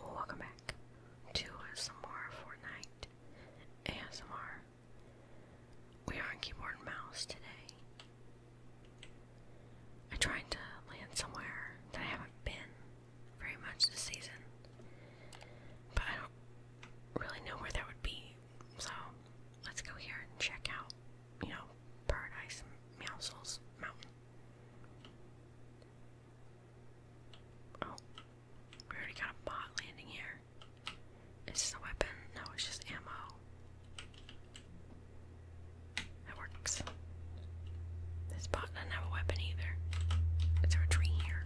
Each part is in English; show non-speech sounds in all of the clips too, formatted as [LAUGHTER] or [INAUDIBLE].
Welcome back to some more Fortnite ASMR. We are on keyboard and mouse today. I am trying to land somewhere that I haven't been very much this season, but I don't really know where that would be. So let's go here and check out, you know, Paradise Mousel's Mountain. Oh, we already got a bot landing here. Is this a weapon? No, it's just ammo. That works. This bot doesn't have a weapon either. Is a tree here?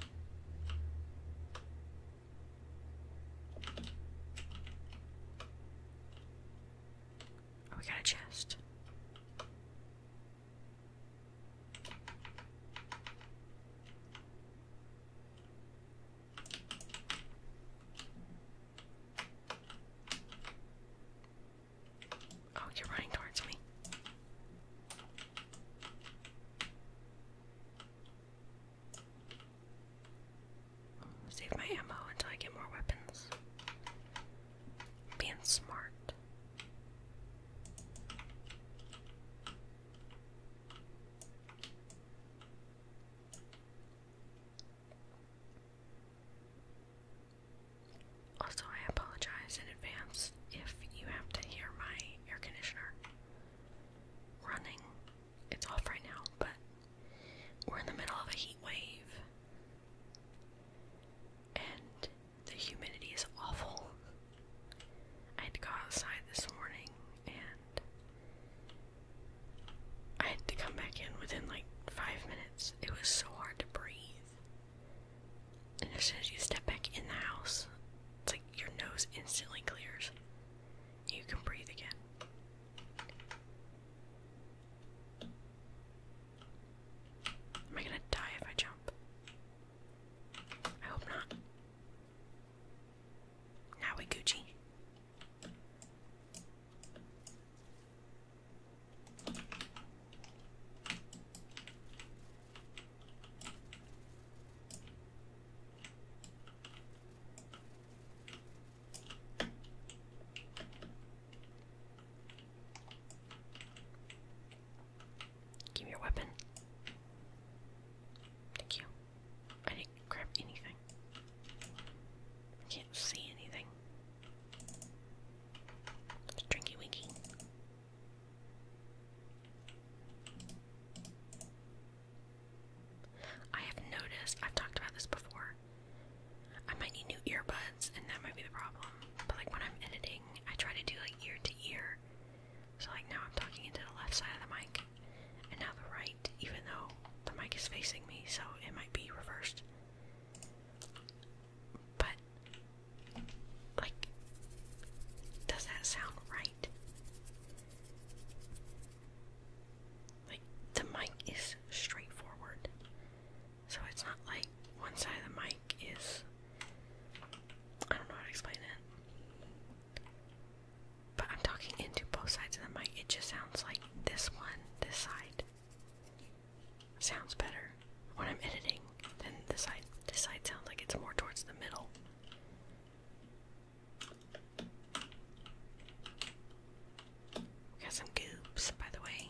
Oh, we got a chest. Oh, you're running towards me. Save my ammo until I get more weapons. Being smart. Also, I apologize in advance if you have to hear my air conditioner running. It's off right now, but we're in the middle of a heat wave and the humidity is awful. I had to go outside this morning and I had to come back in within like five minutes. It was so hard to breathe. And as soon as you step back in the house, it's like your nose instantly clears. You can breathe again. Am I gonna die if I jump? I hope not. Now we Gucci. Give me your weapon. Thank you. I didn't grab anything. I can't see anything. Drinky Winky. I have noticed, I've talked about this before, I might need new earbuds, and that might be the problem. But like when I'm editing, I try to do like ear to ear. So like now I'm talking into the left side of the mic, and now the right, even though the mic is facing me, so it might be reversed. But like, does that sound right? Like the mic is straightforward. So it's not like one side of the mic is. I don't know how to explain it. But I'm talking into both sides of the mic. It just sounds like this one, this side, sounds better when I'm editing than this side. This side sounds like it's more towards the middle. We got some goops, by the way.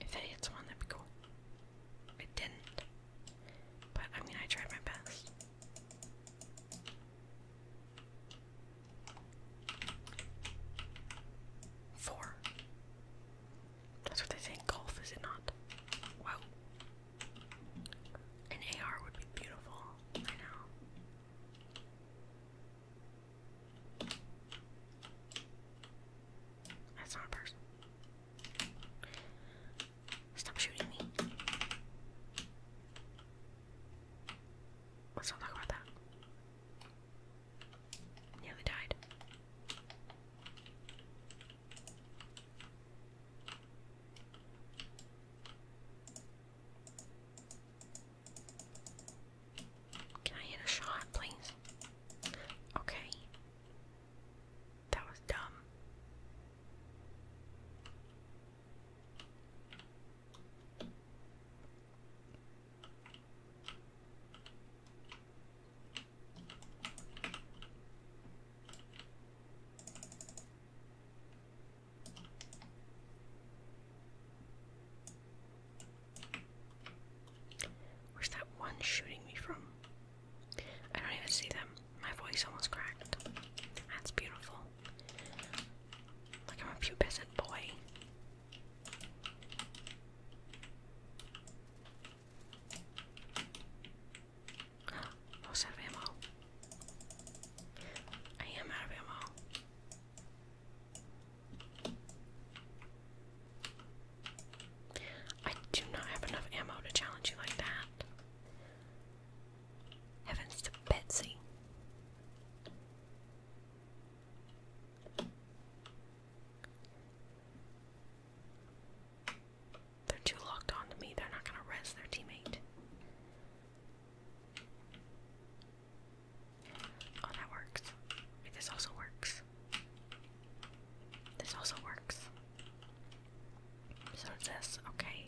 If that hits one, that'd be cool. It didn't. But I mean, I tried my best. Four. That's what they say golf, is it not? Wow. An AR would be beautiful. I know. That's not a person. Stop shooting me. Let's not talk about that. Nearly died. Can I hit a shot, please? Okay. That was dumb. Where's that one shooting me from? I don't even see them. My voice almost cracked. That's beautiful. Like I'm a pubescent boy. Most [GASPS] out of ammo. I am out of ammo. I do not have enough ammo to challenge you like that. Heavens to Betsy. They're too locked on to me. They're not going to rest their teammate. Oh, that works. this also works. This also works. So does this. Okay.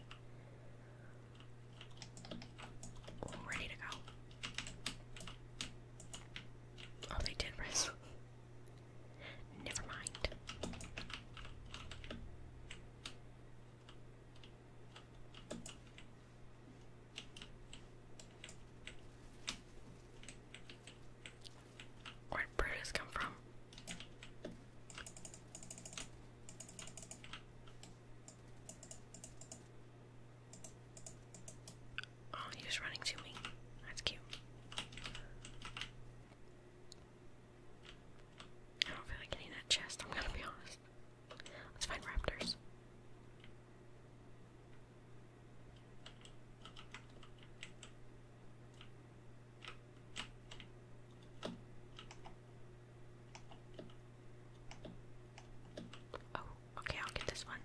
ready to go. Oh, they did risk. [LAUGHS] Never mind. Where'd Brutus come from? Oh, he's running to me. That's cute. I don't feel like getting that chest, I'm gonna be honest. Let's find raptors. Oh, okay, I'll get this one.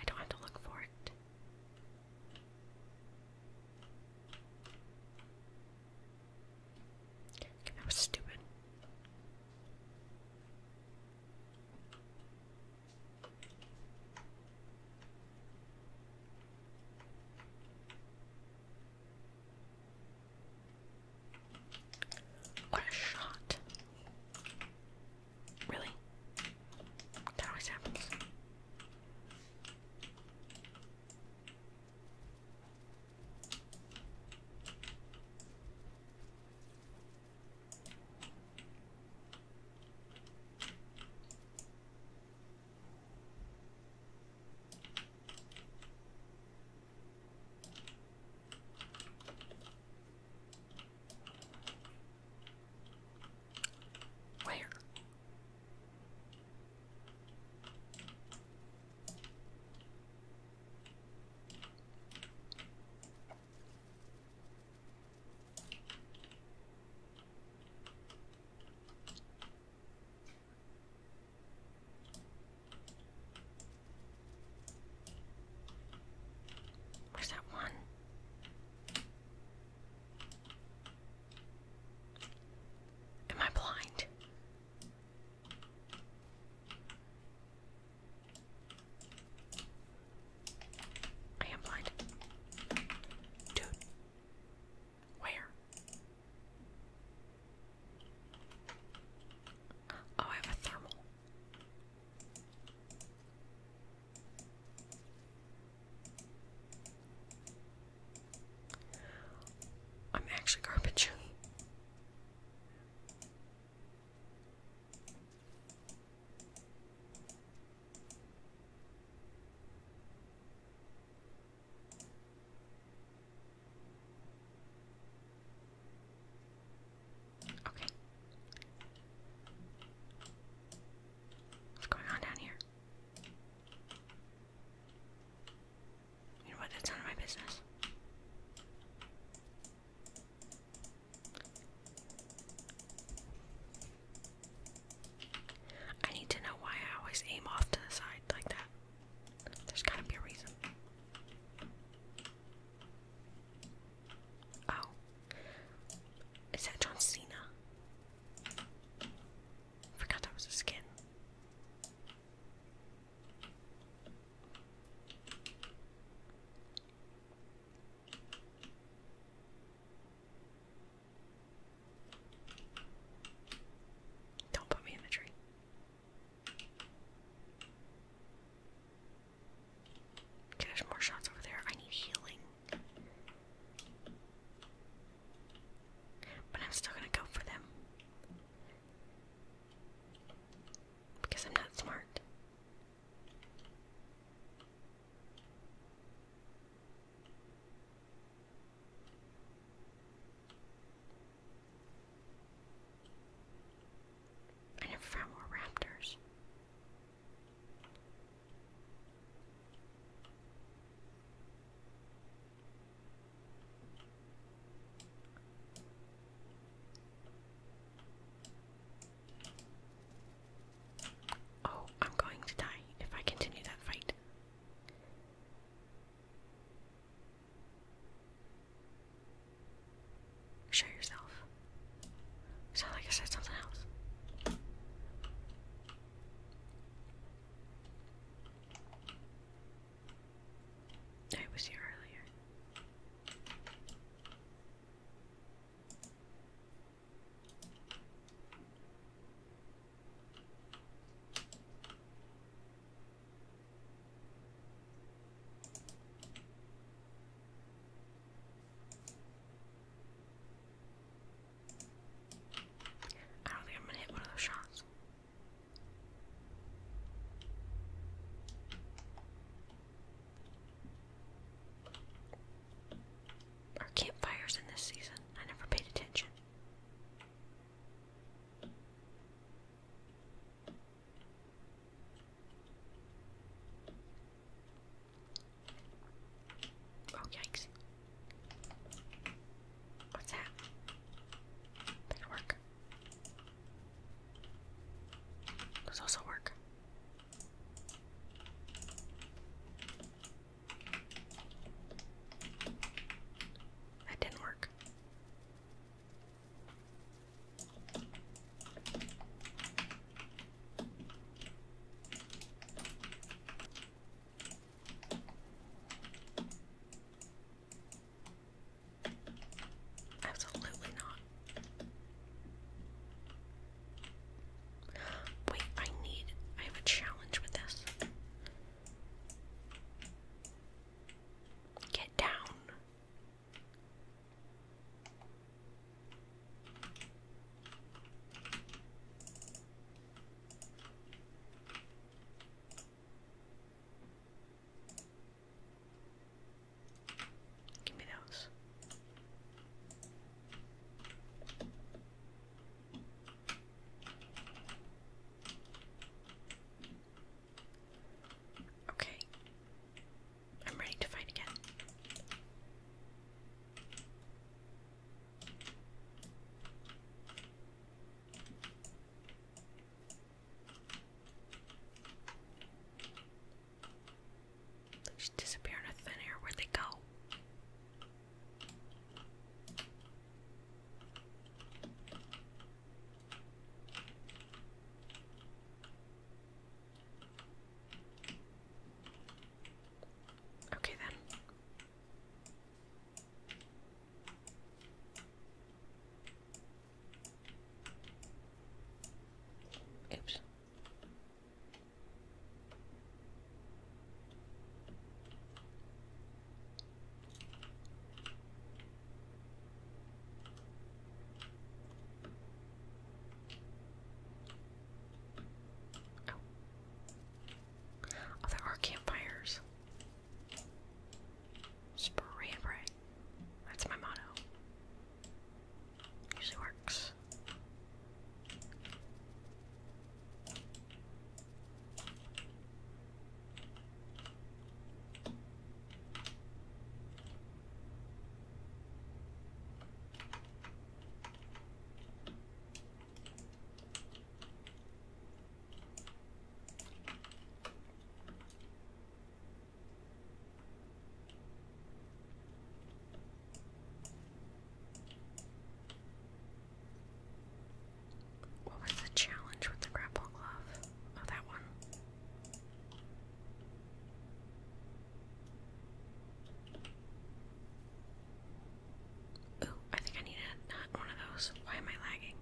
I don't have to look for it that was stupid. What a shot. Really? That always happens. Where? Where's that one? Am I blind? I am blind. Dude. Where? Oh, I have a thermal. I'm actually garbage. Okay. What's going on down here? You know what? That's none of my business. I need to know why I always aim off to the side like that. There's gotta be a reason. Oh. Is that John Cena? Forgot that was a skin. Don't put me in the tree. Okay, there's more shots over there. I need healing. But I'm still gonna go for them. Because I'm not smart. I never found more raptors. Oh, I'm going to die if I continue that fight. Show yourself. Sound like I said something else. I was here earlier. I don't think I'm gonna hit one of those shots. Our campfires in this season. I never paid attention. Oh, yikes. What's that? That could work. also work. That didn't work. Absolutely not. Wait, I need, I have a challenge with this. Get down. Give me those. Okay. I'm ready to fight again. They just disappear into thin air. Where'd they go? Okay then. Oops. Oh. oh. there are campfires. Spray and pray. That's my motto. Usually works. What was the challenge with the grapple glove? Oh, that one. Ooh, I think I need a, not one of those. Why am I lagging?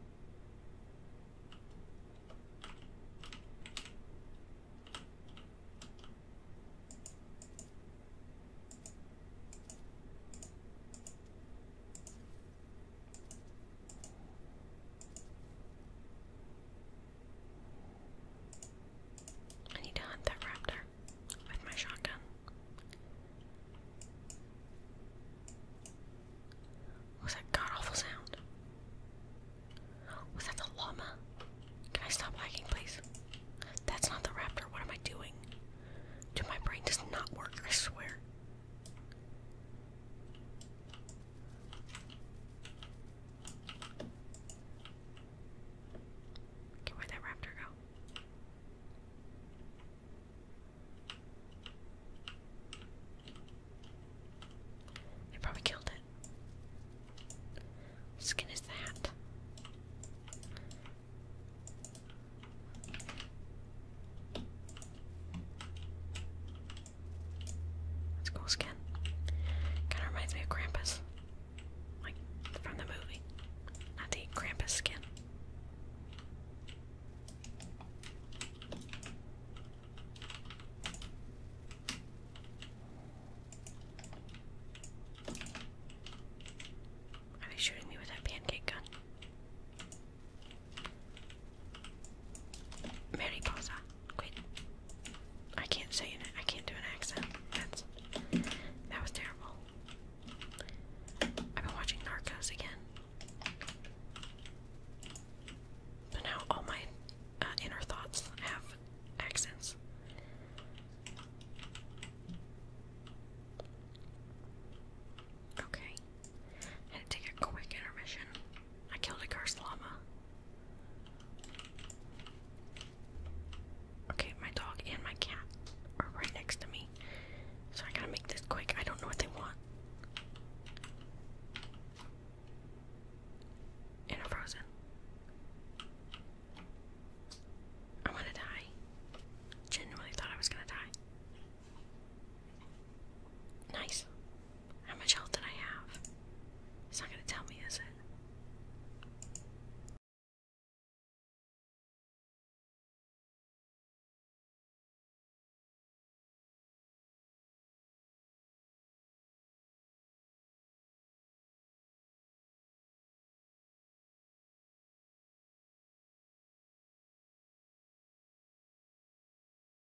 I need to hunt that raptor with my shotgun. What was that god awful sound? Was that the llama? Can I stop lagging, please? That's not the raptor. What am I doing? Dude, my brain does not work, I swear where'd that raptor go? They probably killed it. What skin is that? It's cool skin. Kinda reminds me of Krampus. Like from the movie. Not the Krampus skin. Are they shooting me with that pancake gun? Mariposa. Quit. I can't say it. I can't do an accent. That's that was terrible. I've been watching Narcos again. So now all my uh, inner thoughts have accents. Okay. had to take a quick intermission. I killed a cursed llama. Okay, my dog and my cat are right next to me. So I gotta make this quick. I don't know what they want. And i frozen. I wanna die. Genuinely thought I was gonna die. Nice. How much health did I have? It's not going to tell me, is it?